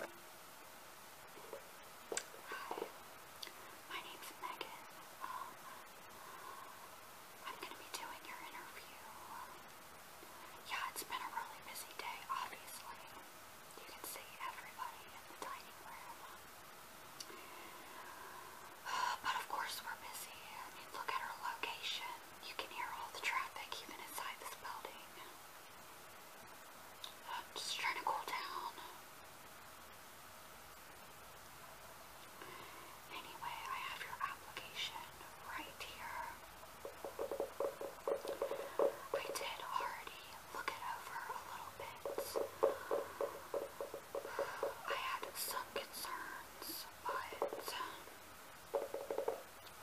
Hi, my name's Megan. Um, I'm going to be doing your interview. Yeah, it's been a really busy day, obviously. You can see everybody in the dining room. But of course we're busy. look at our location. You can hear all the traffic even inside this building. I'm just trying to cool down. Anyway, I have your application right here. I did already look it over a little bit. I had some concerns, but.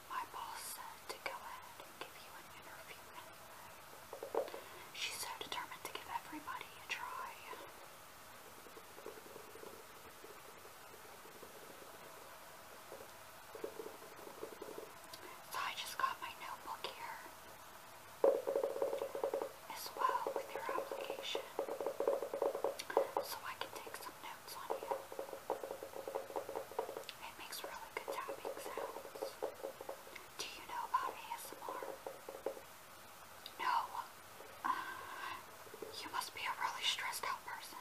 My boss said to go ahead and give you an interview She's so determined to give everybody a try. I just got my notebook here as well with your application so I can take some notes on you. It makes really good tapping sounds. Do you know about ASMR? No. you must be a really stressed out person.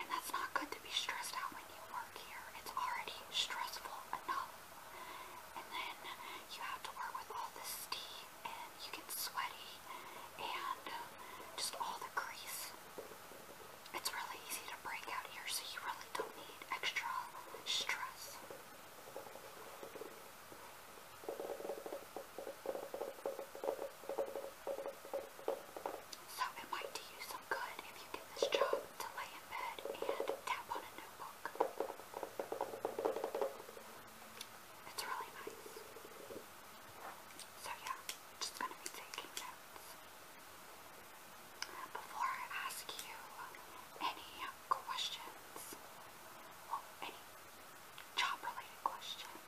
And that's not good to be stressed out when you work here. It's already stressful enough. And then you have to work with all this steam and you get sweaty and just all the grease. It's really easy to break out here, so you really don't need extra stress. So it might do you some good if you get this job to lay in bed and tap on a notebook. It's really nice. So yeah, just gonna be taking that. Before I ask you any questions, well, any job related questions,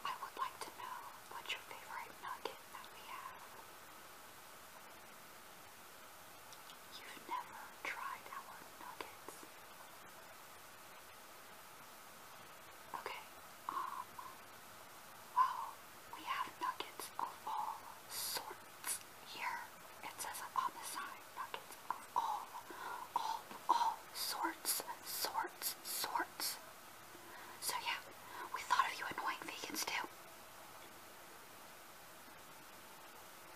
I would like to know what's your favorite nugget that we have. You've never tried our nuggets. Okay, um, we have nuggets of all sorts here. It says it on the sign, nuggets all, all, all sorts, sorts, sorts. So yeah, we thought of you annoying vegans too.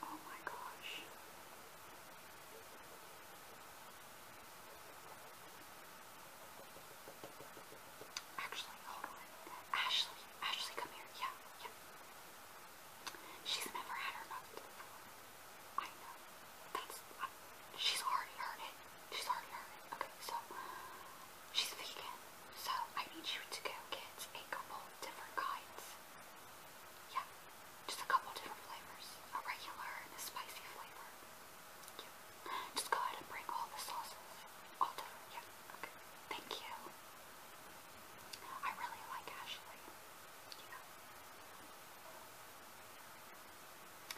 Oh my gosh. Actually, Ashley, Ashley, come here. Yeah, She's never had her I know. That's. she's already heard it. She's already heard it. Okay, so she's vegan. So I need you to go get a couple different kinds. Yeah, just a couple different flavors. A regular and a spicy flavor. Just go ahead and bring all the sauces. All yeah. Okay. Thank you. I really like Ashley.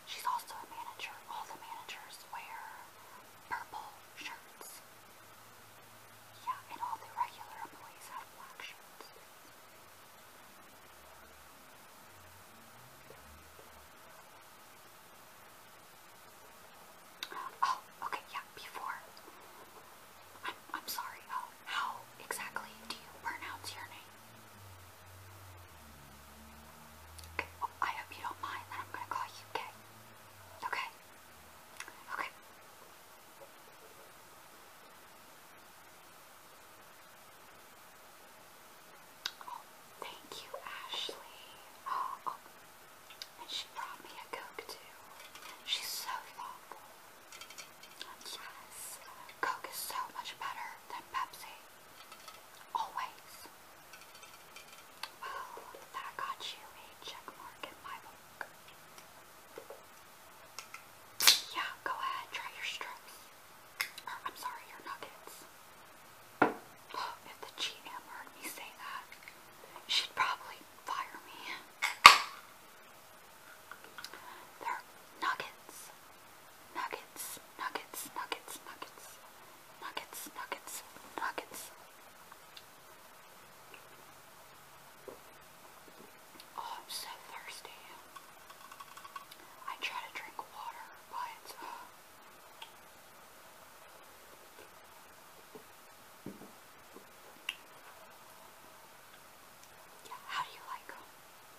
She's also a manager. All the managers wear purple shirts. Yeah, and all the regular employees have black shirts. Oh, okay, yeah, before. I'm, I'm sorry, uh, how exactly do you pronounce your name? Okay, well, oh, I hope you don't mind that I'm gonna call you Kay. Okay? Okay thank you, Ashley. Oh, oh. and she brought me a Coke too. She's so thoughtful. Yes, Coke is so much better than Pepsi. Always. Well, that got you a check in my book. Yeah, go ahead, try your strips. I'm sorry, your nuggets. Oh, if the GM heard me say that, she'd probably fire me. They're nuggets. Nuggets, nuggets, nuggets, nuggets, nuggets, nuggets, nuggets. Oh, I'm so thirsty. I try to drink water, but uh, how do you like them?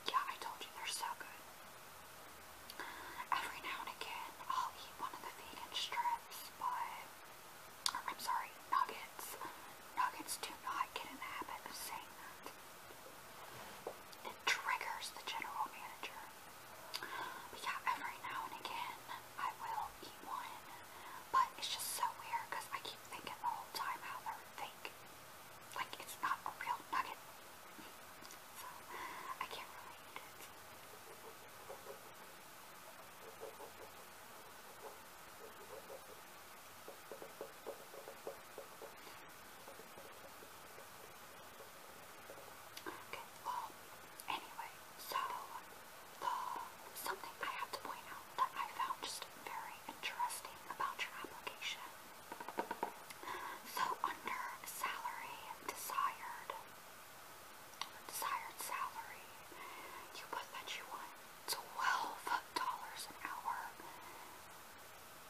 Yeah, I told you they're so good. Every now and again, I'll eat one of the vegan strips, but I'm sorry, nuggets. Nuggets do not get in the habit of saying that it triggers the general manager. yeah, every now and again I will eat one, but it's just so weird because I keep thinking the whole time how fake. Like it's not a real nugget. I can't really Okay, well, anyway, so the something I have to point out that I found just very interesting about your application. So under salary desired desired salary, you put that you want twelve dollars an hour.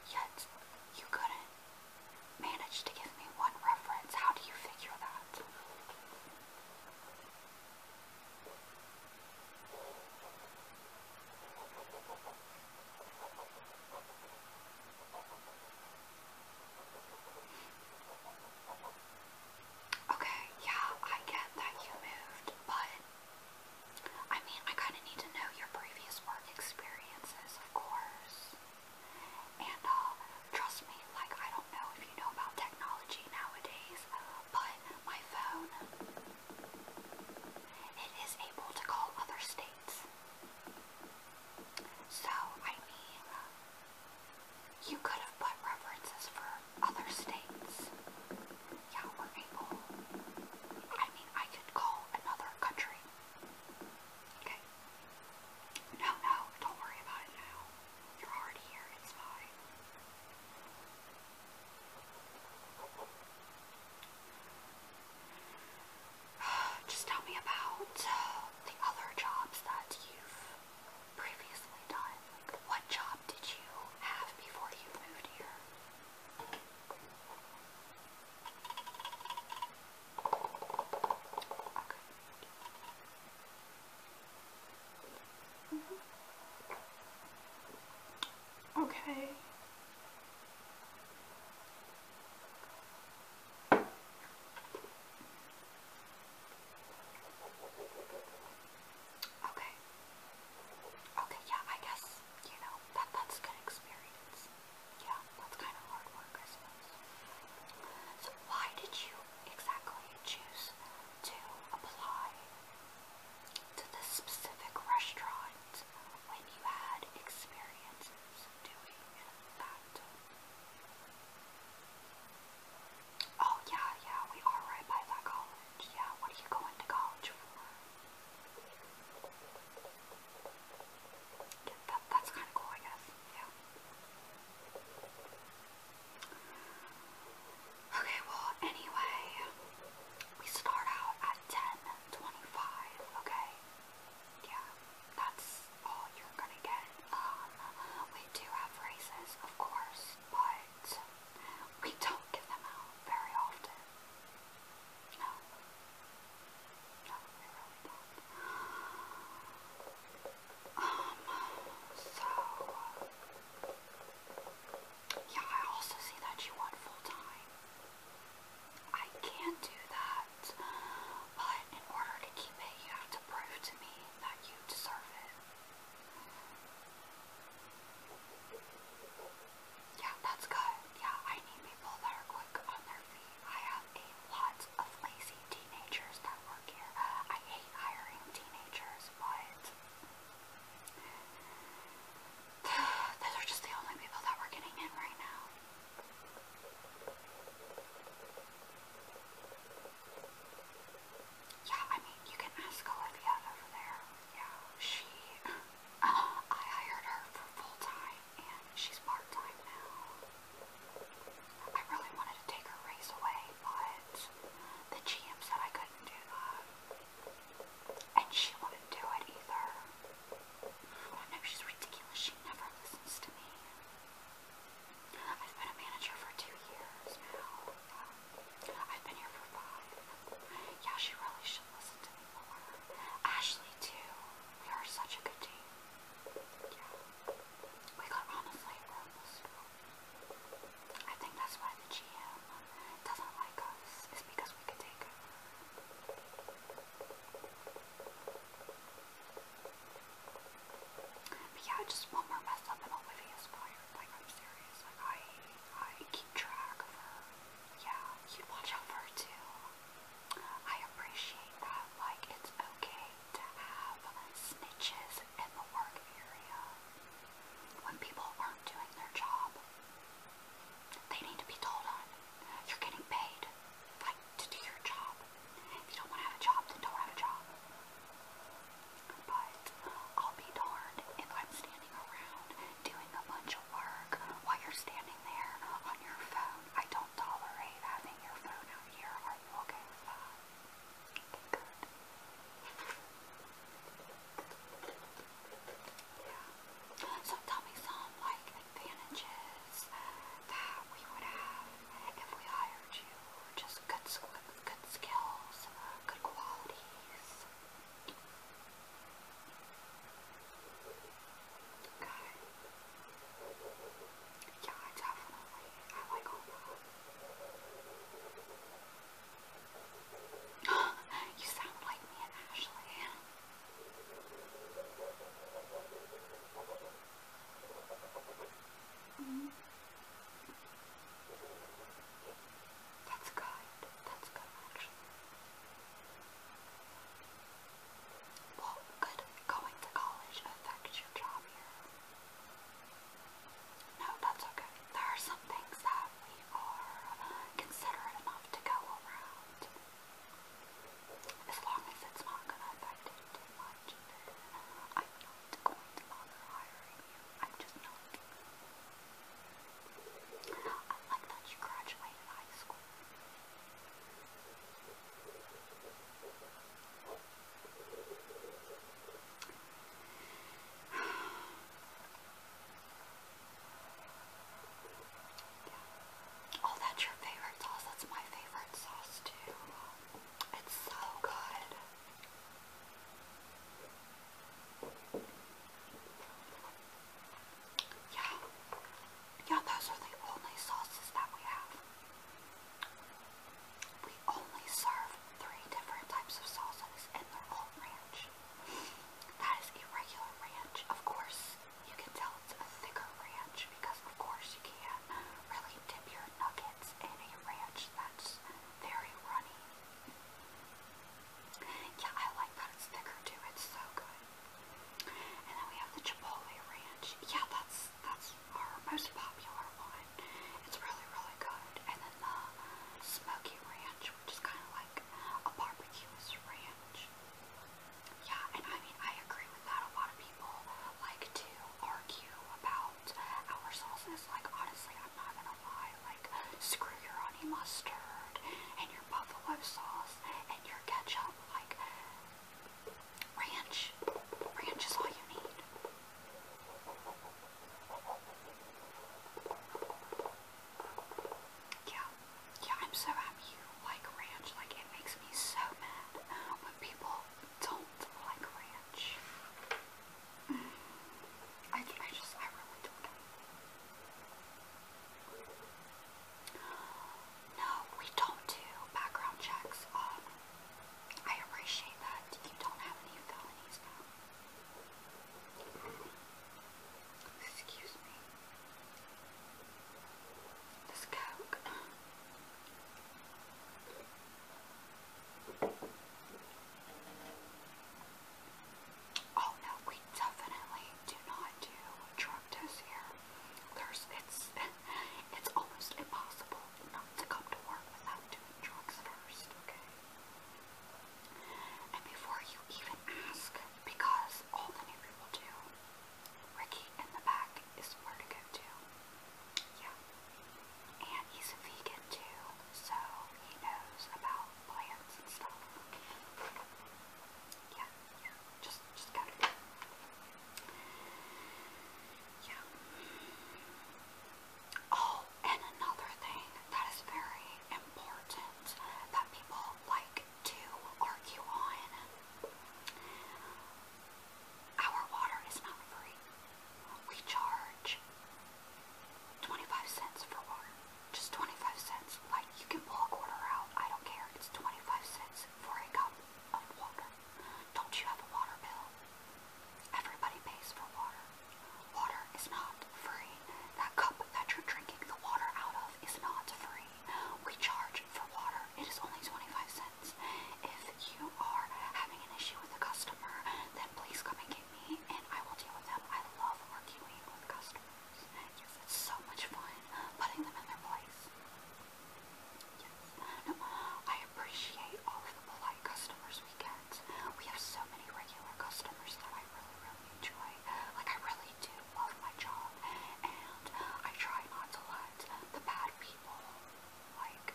Yet you couldn't managed to give me one reference. How do you figure that? Okay, yeah, I get that you moved, but I mean, I kind of need to know your previous work experiences, of course. And uh, trust me, like, I don't know if you know about technology nowadays, but my phone, it is able to call other states. So, I mean, you could have put references for other states. Yeah, we're able. I mean, I could call another country Okay. No, no, don't worry about it now. You're already here, it's fine. Just tell me about uh, the other jobs that you've previously done. what job did you have before you moved here? Mm Okay. Okay. Okay, yeah, I guess you know, that that's a good experience. Yeah, that's kind of hard work, I suppose. So why did you exactly choose to apply to this specific restaurant when you had experiences doing that? Oh yeah, yeah, we are right by that college. Yeah, what are you going to college for? that's kind of cool, I guess. Okay, well, anyway, we start out at 10.25, okay? Yeah, that's all you're gonna get. Um, we do have races, of course, but we don't give them out very often. I really not Um, so... Yeah, I also see that you want full-time. I can do that, but in order to keep it, you have to prove to me that you deserve it. Yeah, that's good. Yeah, I need people that are quick on their feet. I have a lot of lazy teenagers that work here. I hate hiring teenagers, but those are just the only people that we're getting in right now. Yeah, I mean, you can ask Olivia over there. Yeah, she. I hired her for full time and she's part time now. I really wanted to take her race away, but the GM said I couldn't do that. And she wouldn't do it either. I know she's ridiculous, she never listens to me. I've been a manager for two years I've been here for five. Yeah, she really should. Ashley too. We are such a good team. We got honestly from I think that's why the GM doesn't like us, is because we could take it. But yeah, just one more mess up and Olivia's fired. Like I'm serious. Like I I keep track of her yeah, you watch out for her too. I appreciate that. Like, it's okay to have snitches in the work area. When people aren't doing their job, they need to be told on. You're getting paid, like, to do your job. If you don't want to have a job, then don't have a job. But I'll be darned if I'm doing a bunch of work while you're standing there on your phone. I don't tolerate having your phone out here. Are you okay So tell me some like advantages that we would have if we hired you. Just good skills, good qualities. Okay. Yeah, I definitely, I like all that. you sound like me and Ashley. -hmm. That's kind. That's good actually. Well, going to college affect your job here? No, that's okay. There are some things that we are considerate enough to go around. As long as it's not going to affect you much, I'm not going to bother hiring you. I'm just not. I like that you graduated high school. yeah. Oh, that's your favorite sauce. That's my favorite sauce too. It's so good. Yeah. Yeah, those are the only sauces that we have. We only serve three different types of sauces and they ranch. That is a regular ranch. Of course, you can tell it's a thicker ranch because of course you can not really dip your nuggets in a ranch that's very runny. Yeah, I like that it's thicker too. It's so good. And then we have the Chipotle Ranch. Yeah, that's that's our most popular one. It's really, really good. And then the Smoky Ranch, which is kind of like a barbecue's ranch. Yeah, and I mean, I agree with that. A lot of people like to argue about our sauces. Like, honestly, not gonna lie, like, screw your honey mustard, and your buffalo sauce, and your ketchup, like, ranch, ranch is all you need. Yeah, yeah, I'm so happy you like ranch, like, it makes me so mad when people don't like ranch. I, I just, I really don't know. we don't do background checks. Um, I appreciate that you don't have any felonies Excuse me. This coke. Oh no, we definitely do not do drug tests here. There's it's it's almost impossible not to come to work without doing drugs first, okay? And before you even ask, because all the new people do, Ricky in the back is where to go to. Yeah. And he's a vegan too, so he knows about yeah, yeah, just, just got it. Yeah. Oh, and another thing that is very important that people like to argue on. Our water is not free. We charge 25 cents for water. Just 25 cents. Like, you can pull a quarter out. I don't care. It's 25 cents for a cup of water. Don't you have a water bill? Everybody pays for water. Water is not free. That cup that you're drinking the water out of is not free. We charge for water. It is only 25 cents. If you are having an issue with a customer, then please come and get me and I will deal with them. I love working with customers. Yes, it's so much fun putting them in their place. Yes. No, I appreciate all of the polite customers we get. We have so many regular customers that I really, really enjoy. Like, I really do love my job, and I try not to let the bad people, like,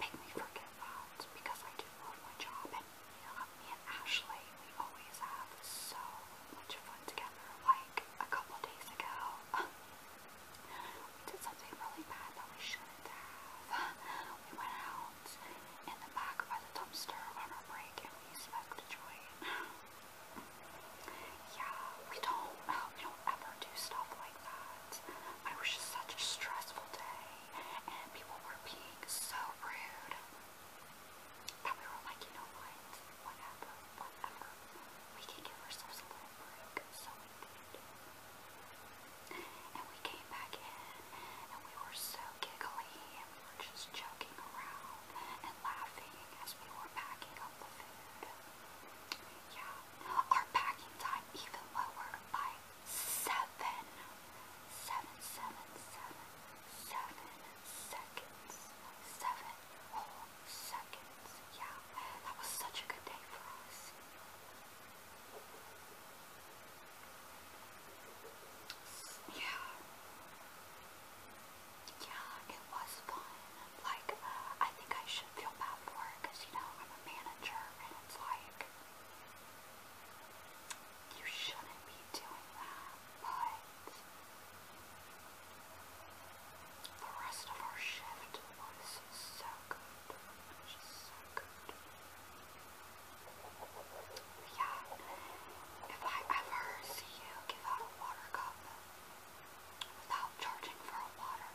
make me forget that because I do love my job and you me and Ashley, we always have so much fun together. Like a couple days ago, we did something really bad that we shouldn't have. We went out in the back by the dumpster on our break and we smoked a joint. Yeah, we don't, we don't ever do stuff like that. I was just such a stressful day and people were being so rude that we were like, you know what, whatever, whatever, we can give ourselves a little break, so we did. And we came back in, and we were so giggly, and we were just joking around and laughing as we were packing up the food. Yeah, our packing time even lower by seven, seven, seven, seven, seven seven Yeah, that was such a good day for us. Yeah, yeah, it was fun. Like, I think I should feel bad for it you know I'm a manager, and it's like. You shouldn't be doing that, but the rest of our shift was so good. Just so good. Yeah. If I ever see you give out a water cup without charging for a water,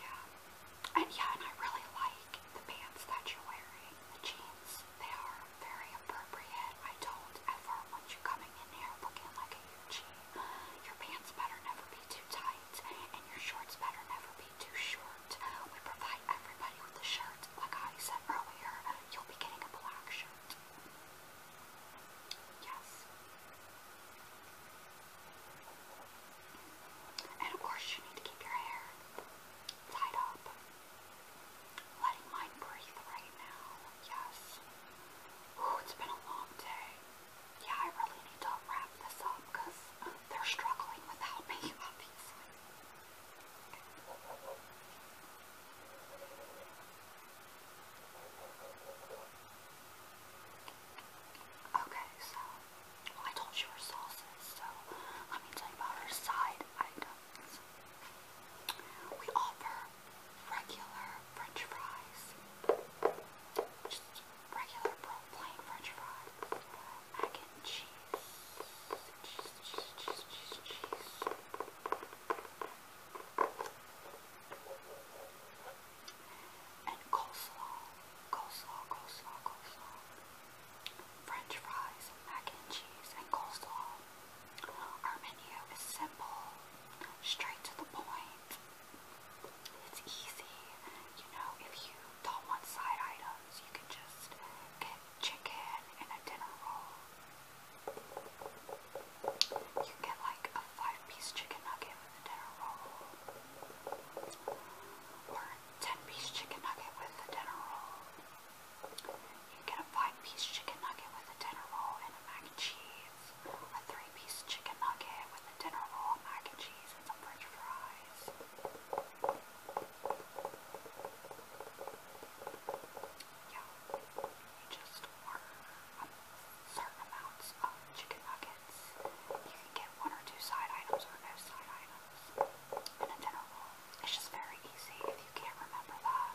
yeah. And yeah, and I really like the pants that you're wearing, the jeans. They are very appropriate. I told ever once you're coming in here looking like a UG, your pants better never be too tight, and your shorts better never be too short. We provide everybody with a shirt. Like I said earlier, you'll be getting a black shirt. Yes. And of course, you need to keep your hair tied up. Letting mine breathe right now. Yes. Ooh, it's been a long day. Yeah, I really need to wrap this up because they're struggling without me, Okay, so, I told you her sauces, so let me tell you about her side items. We offer regular french fries, regular plain french fries, mac and cheese, cheese, cheese, cheese, cheese, cheese and coleslaw, coleslaw, coleslaw, coleslaw, french fries, mac and cheese, and coleslaw. Our menu is simple, straight to the point. It's easy. You know, if you don't want side items, you can just get chicken and a dinner roll. You get like a five piece chicken nugget with a dinner roll, or a ten piece chicken nugget with a dinner roll. You get a five piece chicken nugget with a dinner roll and mac and cheese, a three piece chicken nugget with a dinner roll, mac and cheese, and some french fries yeah, you just order certain amounts of chicken nuggets. You can get one or two side items or no side items. And a dinner It's just very easy if you can't remember that.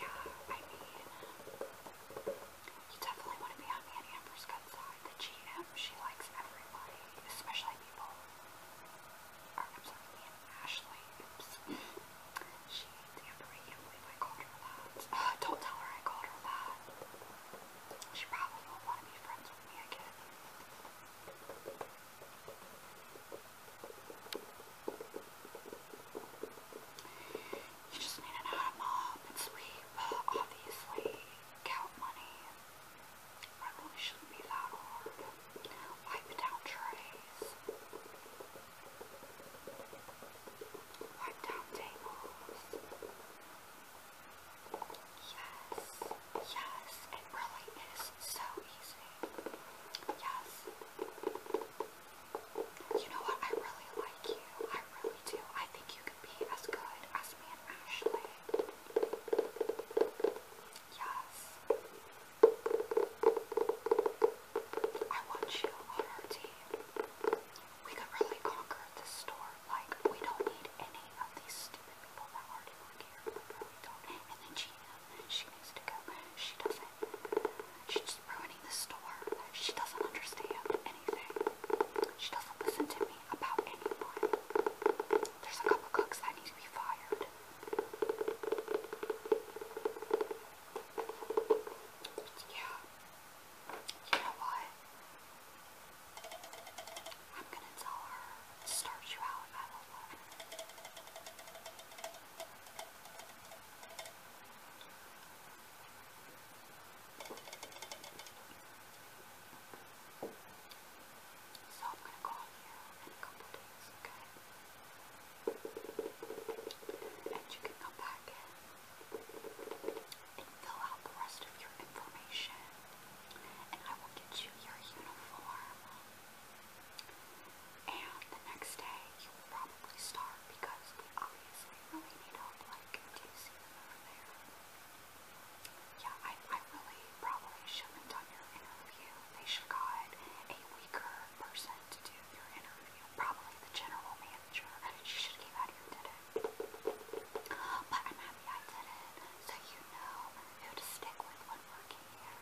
yeah, I mean, you definitely want to be on Annie Amber's good side. The GM, she likes everybody, especially people. Or, I'm Ashley. Oops. she Amber. can't believe I called her that. don't tell her I called her that. She probably won't want to be friends with me again. You just need to know mop and sweep. Obviously, count money. That shouldn't be that Wipe down trays. Wipe down tables. Yes, yes, it really is so easy. Yes you know what? I really like you. I really do. I think you could be as good as me and Ashley. Yes. I want you on our team. We could really conquer this store. Like, we don't need any of these stupid people that are already work here. And then Gina, she she doesn't. She's just ruining the store. She doesn't understand anything. She doesn't listen to me about anyone. There's a couple cooks that need to be fired. Yeah. You know what? I'm gonna tell her start you out so I'm gonna call you in a couple days, okay? And you can come back in and fill out the rest of your information. And I will get you your uniform and the next day, you will probably starve because we obviously really need help. Like, do you see them over there? Yeah, I, I really probably shouldn't have done your interview. They should have got a weaker person to do your interview. Probably the general manager. She should have came out here and did it. But I'm happy I did it, so you know who to stick with when working here.